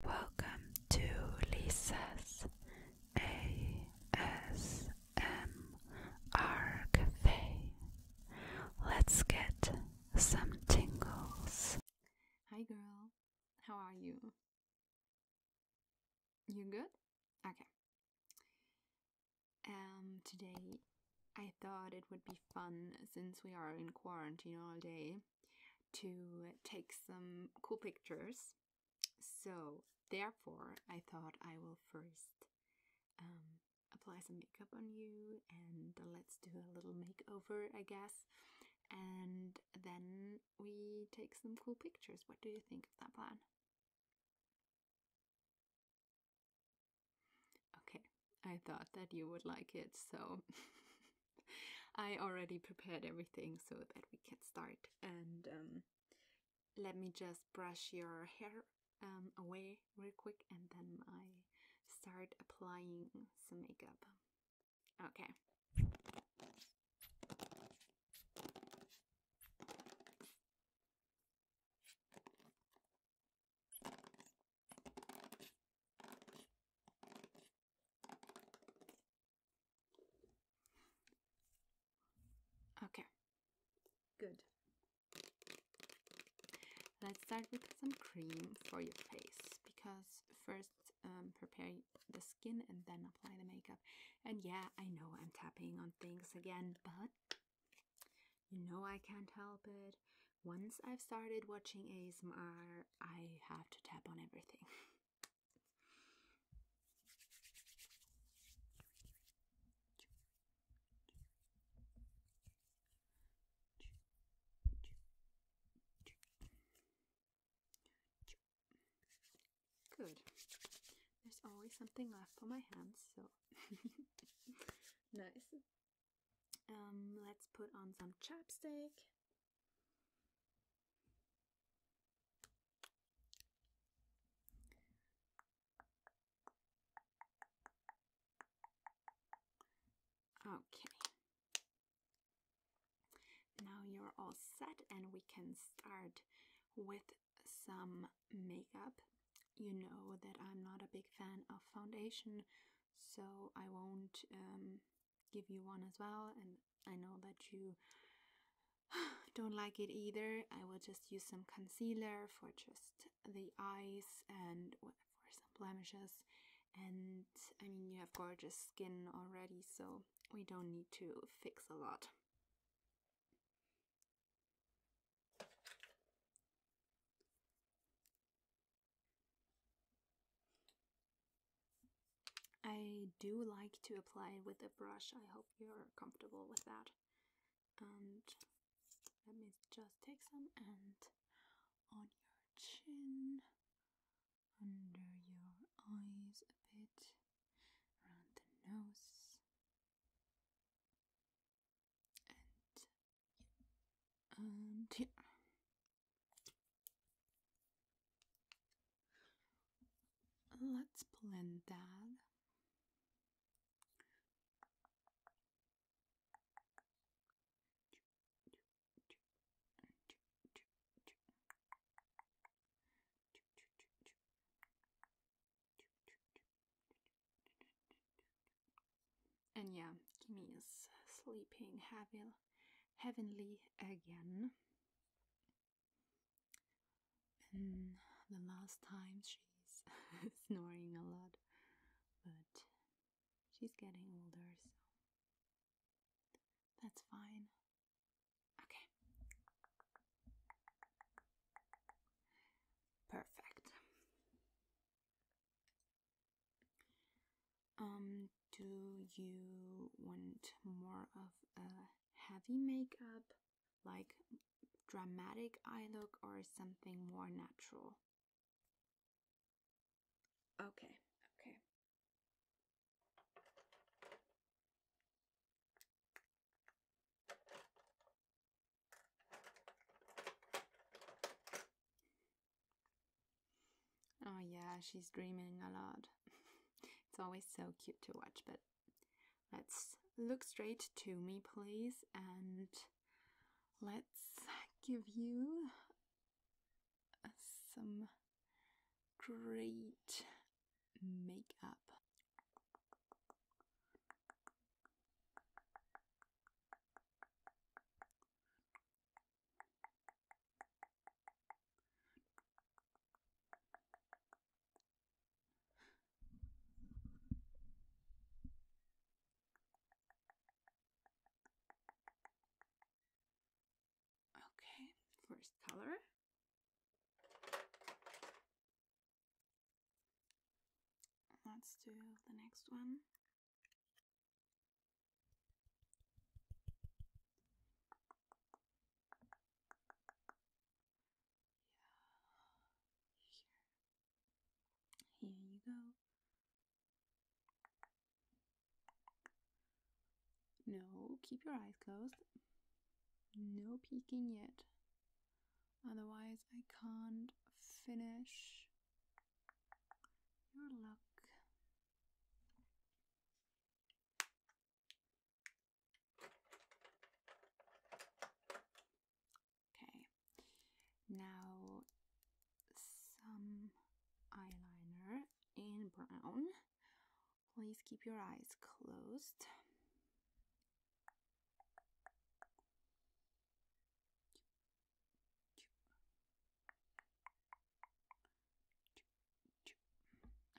Welcome to Lisa's ASMR Cafe. Let's get some tingles. Hi, girl. How are you? You good? Okay. Um, today I thought it would be fun since we are in quarantine all day to take some cool pictures. So, therefore, I thought I will first um, apply some makeup on you and let's do a little makeover, I guess. And then we take some cool pictures. What do you think of that plan? Okay, I thought that you would like it, so I already prepared everything so that we can start. And um, let me just brush your hair um, away real quick and then I start applying some makeup. Okay. Okay, good. Let's start with some cream for your face because first um, prepare the skin and then apply the makeup. And yeah, I know I'm tapping on things again, but you know I can't help it. Once I've started watching ASMR I have to tap on everything. Good. There's always something left on my hands, so nice. Um, let's put on some chapstick. Okay. Now you're all set and we can start with some makeup. You know that I'm not a big fan of foundation, so I won't um, give you one as well. And I know that you don't like it either. I will just use some concealer for just the eyes and for some blemishes. And I mean, you have gorgeous skin already, so we don't need to fix a lot. I do like to apply with a brush. I hope you're comfortable with that. And let me just take some and on your chin, under your eyes a bit, around the nose. And, and yeah. Let's blend that. And yeah, Kimi is sleeping heavy heavenly again. the last time she's snoring a lot, but she's getting older, so that's fine. Okay. Perfect. Um, do you want more of a heavy makeup, like dramatic eye look, or something more natural? Okay, okay. Oh, yeah, she's dreaming a lot. it's always so cute to watch, but let's look straight to me, please, and let's give you some great makeup. Okay, first color. Let's do the next one. Here you go. No, keep your eyes closed. No peeking yet. Otherwise, I can't finish your look. Okay, now some eyeliner in brown. Please keep your eyes closed.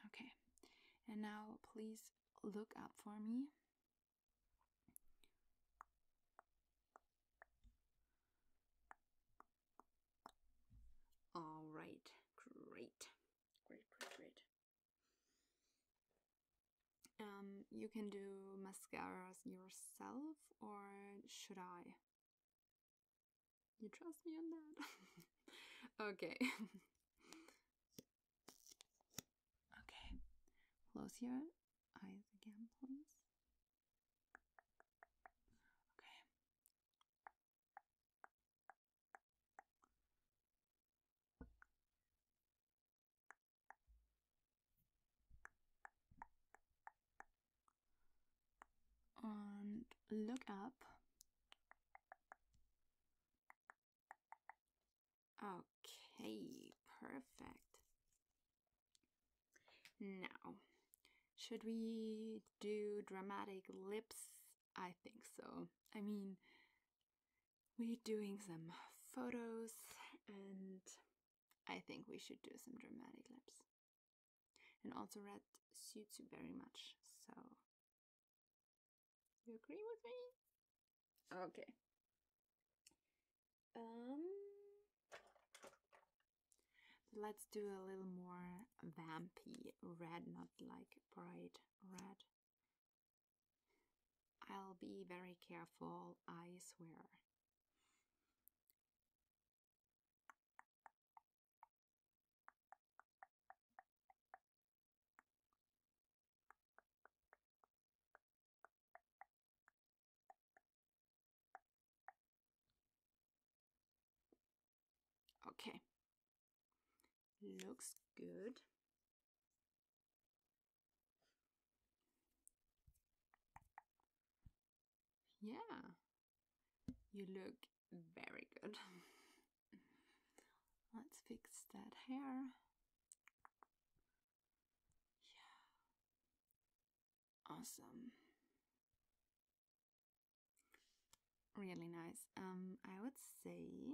Okay, and now please look up for me. All right, great, great, great, Um, you can do mascaras yourself, or should I? You trust me on that? okay. okay. Close your eyes again, please. Okay and look up. Okay, perfect. Now, should we do dramatic lips? I think so. I mean, we're doing some photos and I think we should do some dramatic lips. And also red suits you very much, so you agree with me? Okay. Um let's do a little more vampy red, not like bright red. I'll be very careful, I swear. Okay. Looks good. Yeah, you look very good. Let's fix that hair. Yeah. Awesome. Really nice. Um I would say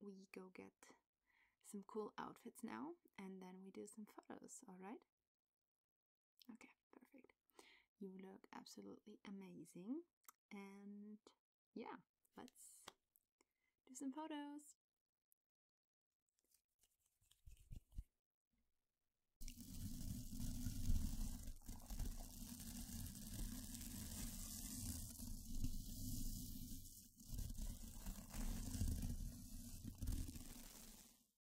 we go get some cool outfits now and then we do some photos, all right? Okay, perfect. You look absolutely amazing. And yeah, let's do some photos.